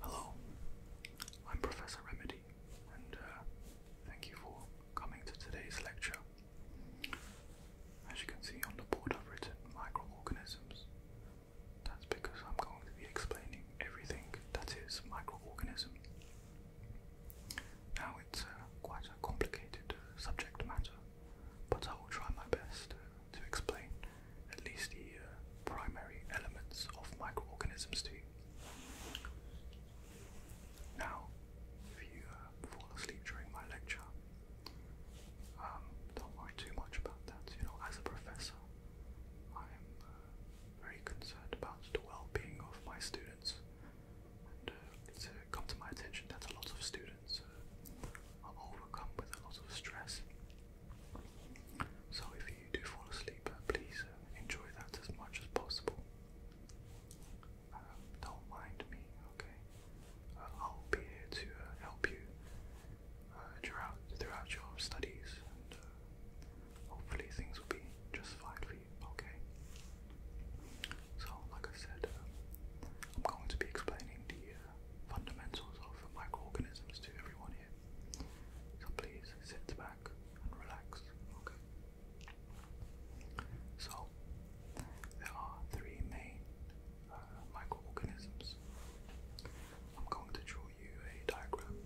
Hello, I'm Professor Remedy, and uh, thank you for coming to today's lecture as you can see on the board I've written microorganisms. That's because I'm going to be explaining everything that is microorganism. Now it's uh, quite a complicated uh, subject matter, but I will try my best uh, to explain at least the uh, primary elements of microorganisms to you. Now, if you uh, fall asleep during my lecture, um, don't worry too much about that. You know, as a professor, I am uh, very concerned about the well-being of my students, and uh, it's come to my attention that a lot of students are overcome with a lot of stress. So, if you do fall asleep, please enjoy that as much as possible. Um, don't mind me, okay? Uh, I'll be here to uh, help you uh, throughout, throughout your studies, and hopefully things will be just fine for you, okay? So, like I said, um, I'm going to be explaining the fundamentals of microorganisms to everyone here. So please sit back and relax, okay? So, there are three main uh, microorganisms. I'm going to draw you a diagram.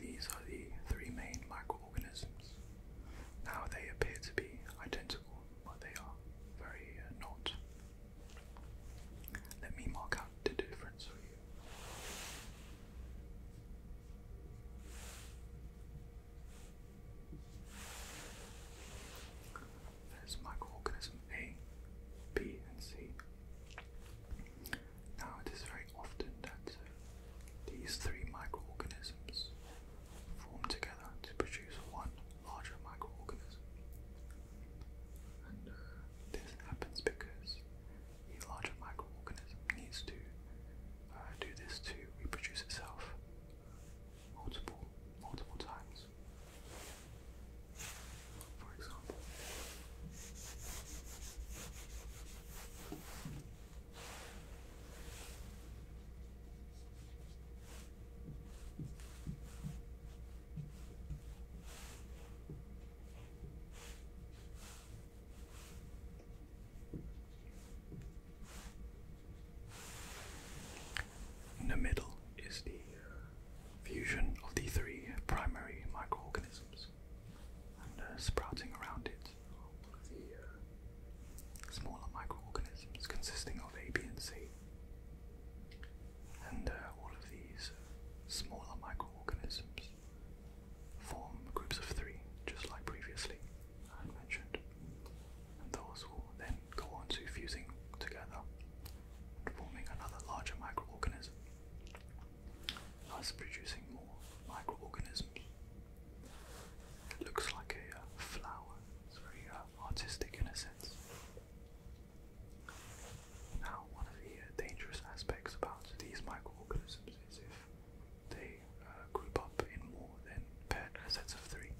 These are the three main microorganisms. Now they appear to be identical but they are very uh, not. Let me mark out the difference for you. There's microorganism A, B, and C. Now, it is very often that these three microorganisms form together to produce one larger microorganism. Uh, this happens because the larger microorganism needs to uh, do this to reproduce itself multiple, multiple times. For example, in the middle is the uh, fusion of the three primary microorganisms, and uh, sprouting around it smaller microorganisms consisting of A, B, and C. And uh, all of these uh, smaller microorganisms form groups of three, just like previously mentioned. And those will then go on to fusing together forming another larger microorganism, thus producing more microorganisms. It looks like a uh, flower. It's very uh, artistic in a sense. Now, one of the uh, dangerous aspects about these microorganisms is if they group up in more than paired sets of three.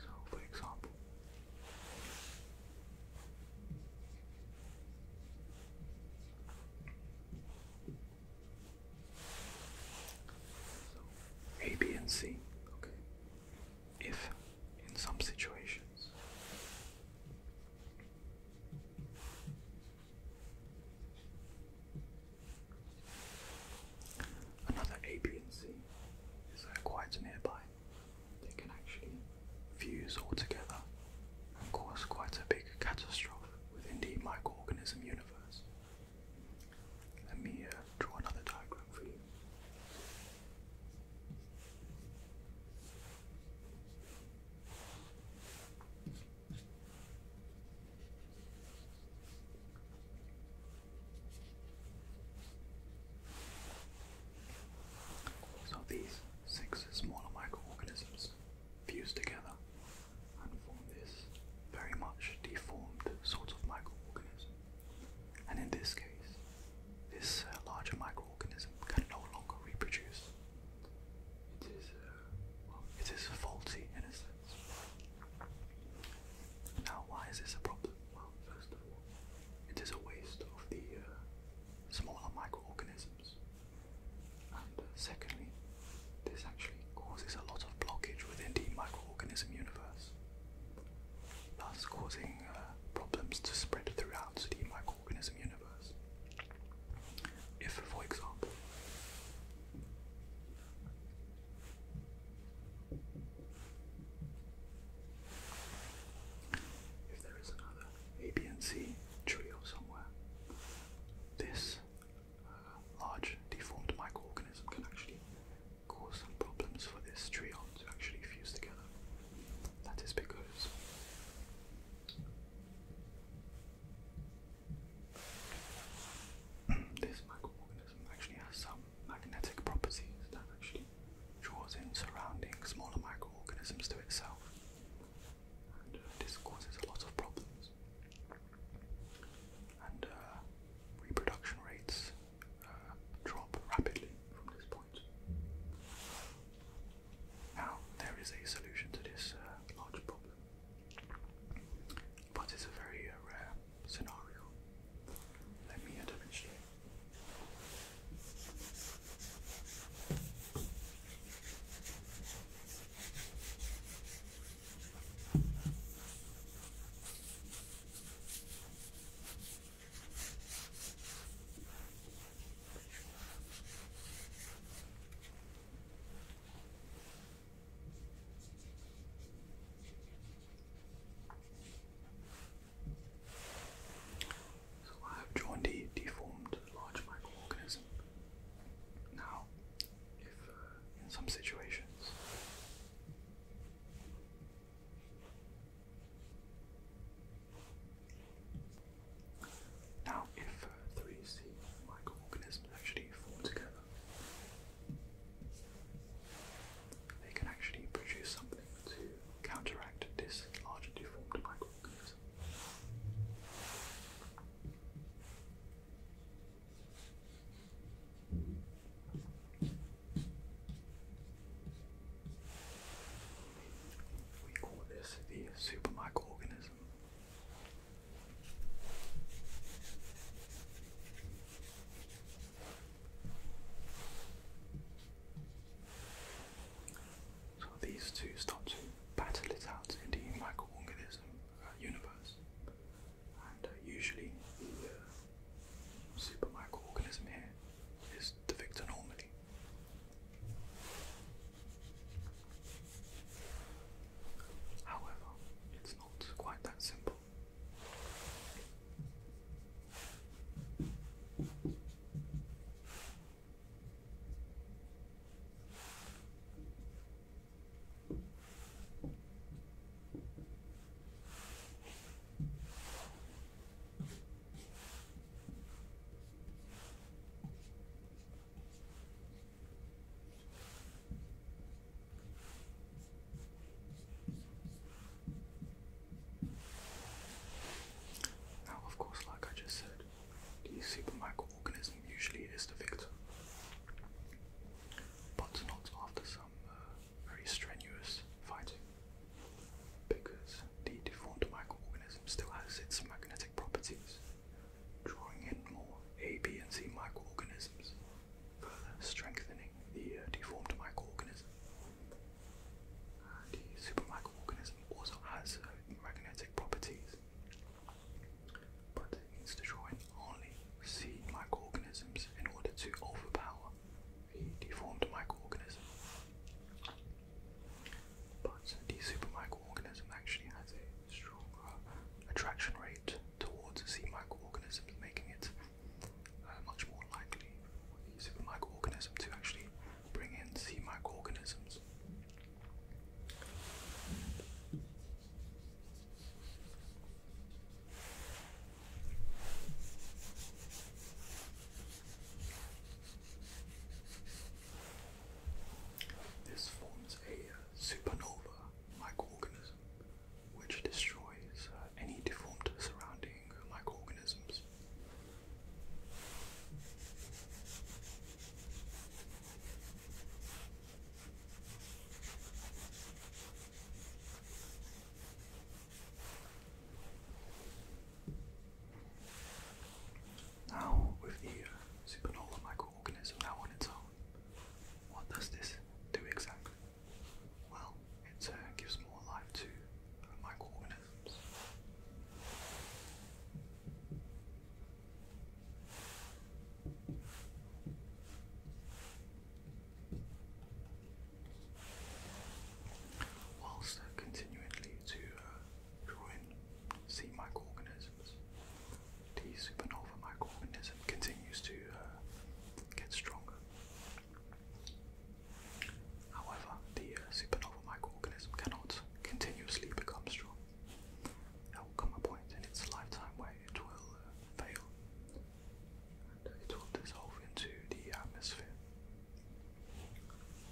So, for example, a, B, and C. Okay. If in some situations another A, B, and C is uh, quite nearby, they can actually fuse all together Of course, quite a big catastrophe within the microorganism universe. Let me uh, draw another diagram for you. So these six smaller microorganisms fuse together and form this very much deformed sort of microorganism. And in this case, this uh, larger microorganism can no longer reproduce. It is, uh, well, it is faulty in a sense. Now, why is this a problem? Well, first of all, it is a waste of the uh, smaller microorganisms. And uh, secondly, this actually causes a lot of blockage within the microorganism universe, thus causing uh, problems to spread throughout the microorganism universe. If, for example, if there is another A, B, trio somewhere, this large deformed microorganism can actually cause some problems for this trion to actually fuse together. That is because this microorganism actually has some magnetic properties that actually draws in surrounding smaller microorganisms to itself. And uh, this causes a lot of problems and uh, reproduction rates uh, drop rapidly from this point. Now, there is a solution to this uh, large problem, but it's a very rare scenario. Let me uh, so I have joined a deformed large microorganism now, if uh, in some situations now, if 3C uh, microorganisms actually form together, they can actually produce something to counteract this largely formed microorganism. Yes. We call this the supermicroorganism. So these two start to battle it out in the microorganism uh, universe. And uh, usually, the uh, super microorganism here is the victor normally. However, it's not quite that simple. Now, of course, like I just said, the super microorganism usually is the victor, but not after some uh, very strenuous fighting, because the deformed microorganism still has its magnetic properties, drawing in more A, B, and C microorganisms, further strengthening the uh, deformed microorganism microorganism also has uh, magnetic properties, but it needs to draw only sea microorganisms in order to overpower the deformed microorganism. But the super microorganism actually has a stronger attraction rate towards sea microorganisms, making it uh, much more likely for the microorganism to actually bring in sea microorganisms. This forms a supernova microorganism which destroys uh, any deformed surrounding living like organisms. Now, with the uh, supernova microorganism now on its own, what does this do exactly? Well, it uh, gives more life to a microorganism times. Whilst uh, to uh, draw in sea microorganisms, the supernova microorganism continues to uh, get stronger However, the uh, supernova microorganism cannot continuously become strong. There will come a point in its lifetime where it will uh, fail and it will dissolve into the atmosphere,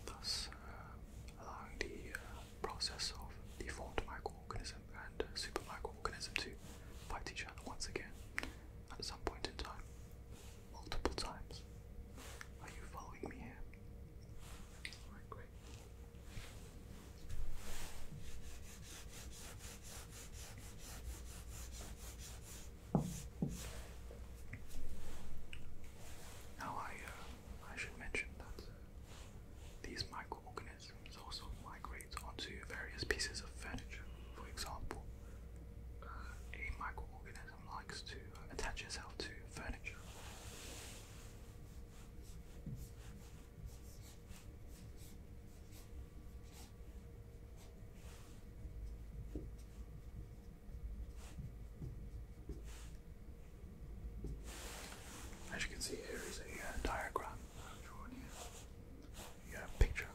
thus uh, allowing the process of the formed microorganism and uh, microorganism to fight each other once again at some point in time multiple times. Are you following me here? Now I uh, I should mention that uh, these microorganisms also migrate onto various pieces of furniture. For example, uh, a microorganism likes to attach itself to furniture. As you can see, here is a uh, diagram uh, drawn here you picture.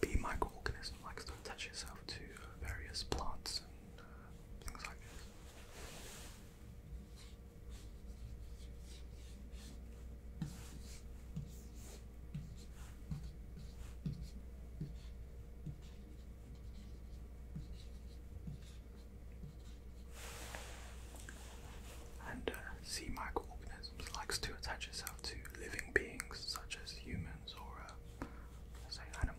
Bee microorganism likes to attach itself to various plants and uh, things like that. And uh, sea microorganisms likes to attach itself to living beings such as humans or, uh, say, animals.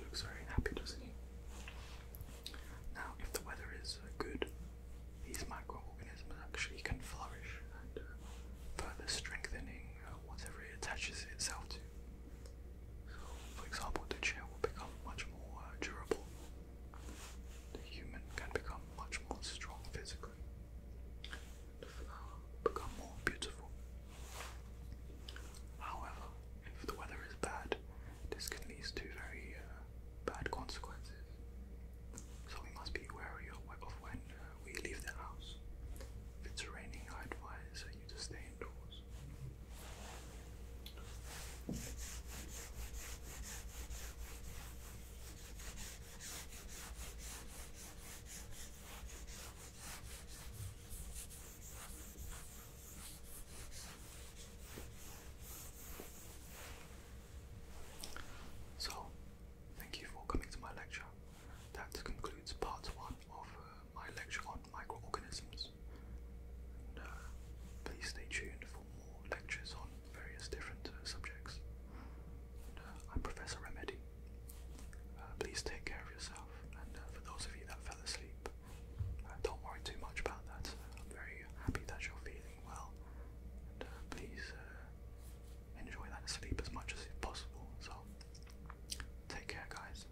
looks very happy, doesn't he? Now, if the weather is uh, good, these microorganisms actually can flourish and uh, further strengthening uh, whatever it attaches itself to. So, for example, the chair will become much more uh, durable. The human can become much more strong physically. become more beautiful. However, if the weather is bad, this can lead to very bad consequences. So we must be wary of when uh, we leave the house. If it's raining, I advise you to stay indoors. So, thank you for coming to my lecture. That concludes part one of uh, my lecture on microorganisms. Uh, please stay tuned for more lectures on various different uh, subjects. I'm Professor Remedy. please take care of yourself, and for those of you that fell asleep, don't worry too much about that. I'm very happy that you're feeling well. Uh, please uh, enjoy that sleep as much as possible. So, take care, guys.